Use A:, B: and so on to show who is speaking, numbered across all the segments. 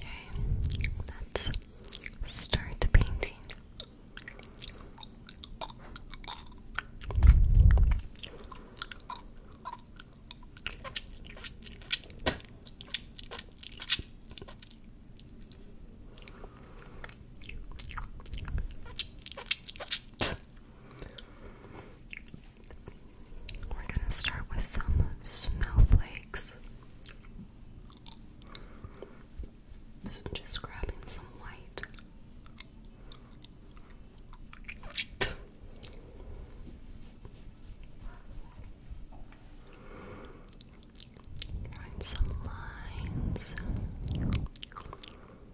A: Okay, let's start painting. We're gonna start with some snowflakes. So just grabbing some white. Drawing some lines.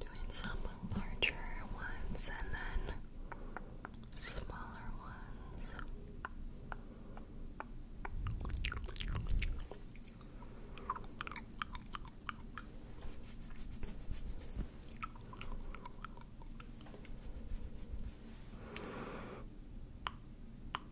A: Doing some larger ones and then smaller ones.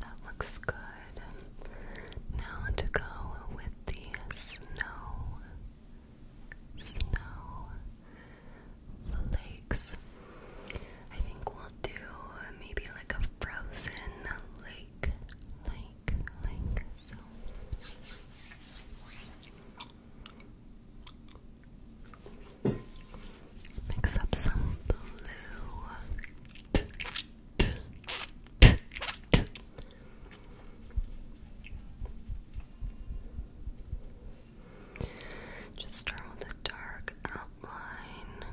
A: That looks good. Now to go with the snow, snow flakes. I think we'll do maybe like a frozen lake, lake, lake. So. Mix up some blue. Just start with a dark outline,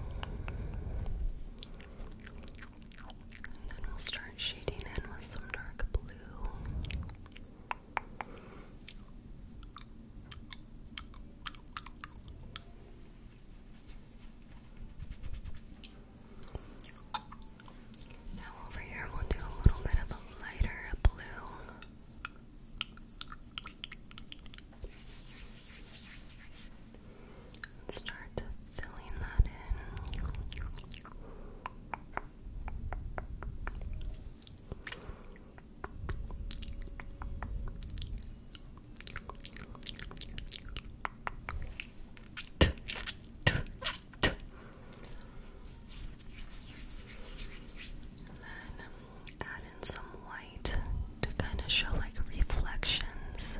A: and then we'll start shading in with some dark blue. Now over here we'll do a little bit of a lighter blue. start filling that in then add in some white to kind of show like reflections.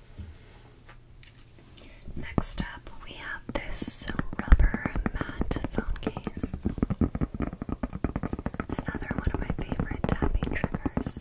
A: Next up, we have this rubber matte phone case. Another one of my favorite tapping triggers.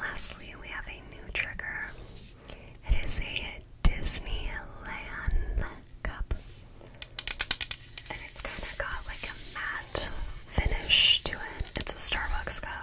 A: Lastly, we have a new trigger. It is a Disneyland cup. And it's kind of got like a matte finish to it. It's a Starbucks cup.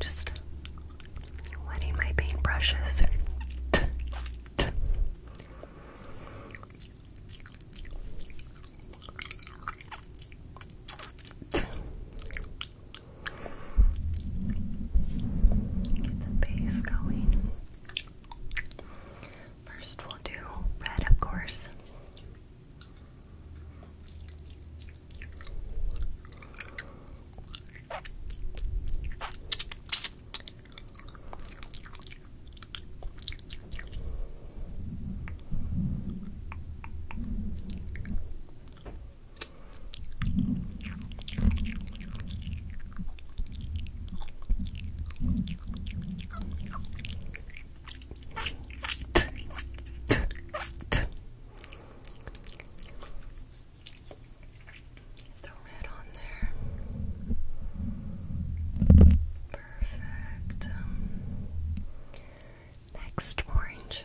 A: just wetting my paintbrushes. Get the base going. First, we'll do red, of course the red on there. Perfect. Um, next orange.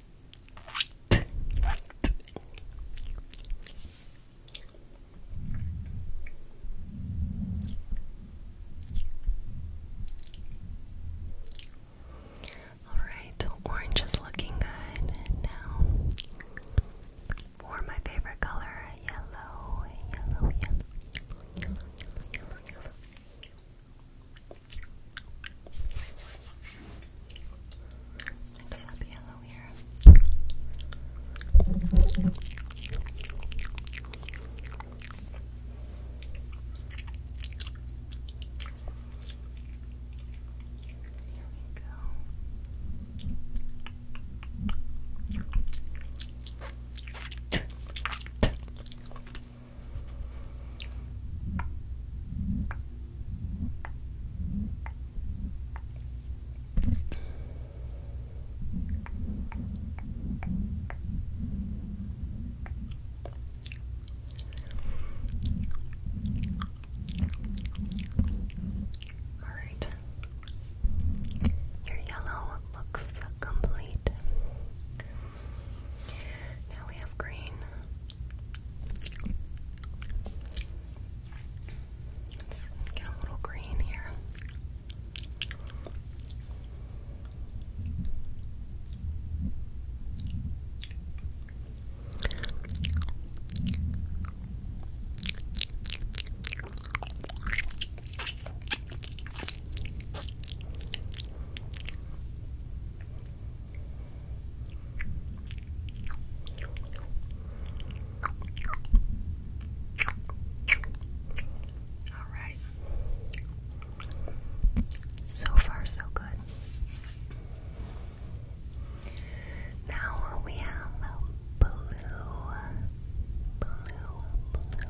A: All right, orange is looking good now. For my favorite color, yellow, yellow, yellow, yellow, yellow, Mix up yellow here. Here we go. All right. Your yellow looks complete. Now we have green. Let's get a little green here. All right. So far, so good. Now we have blue, blue, blue, blue.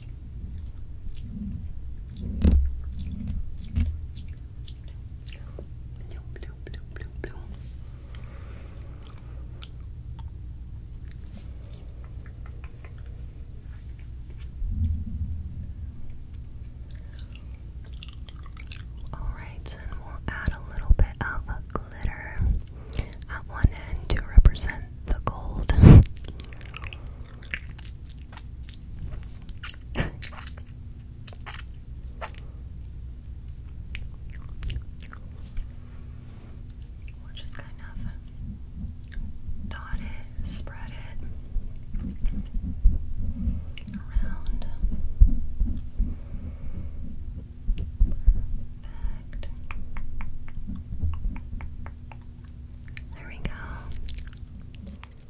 A: All right, and we'll add a little bit of a glitter at one end to represent the gold. just kind of dot it, spread it around. There we go.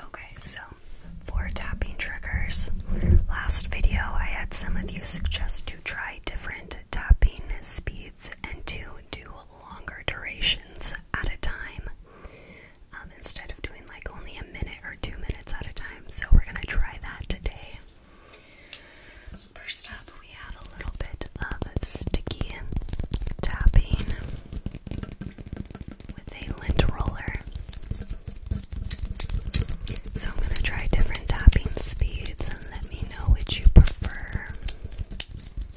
A: Okay, so for tapping triggers, last video I had some of you suggest to try different tapping speeds and to do longer durations at a time um, instead of doing like only a minute or two minutes at a time. So we're going to try that today. First up, we have a little bit of sticky tapping with a lint roller. So I'm going to try different tapping speeds and let me know which you prefer.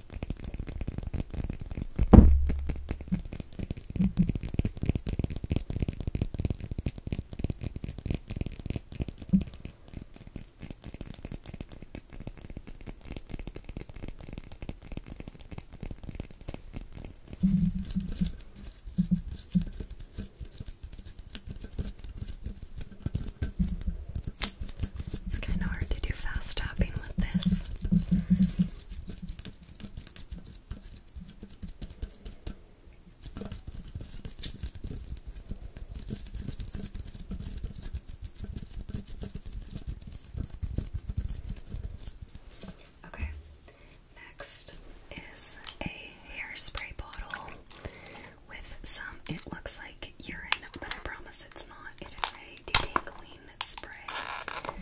A: It's kind of hard to do fast tapping with this. Okay, next is a hairspray bottle with some, it looks like urine, but I promise it's not. It is a detangling clean spray. Um,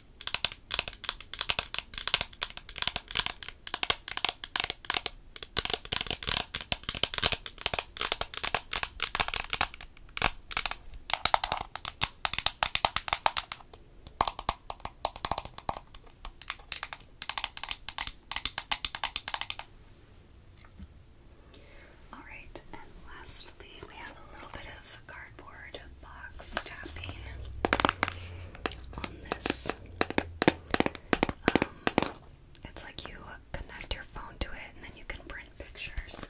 A: All right, and lastly, we have a little bit of cardboard box tapping on this. Um, it's like you connect your phone to it and then you can print pictures.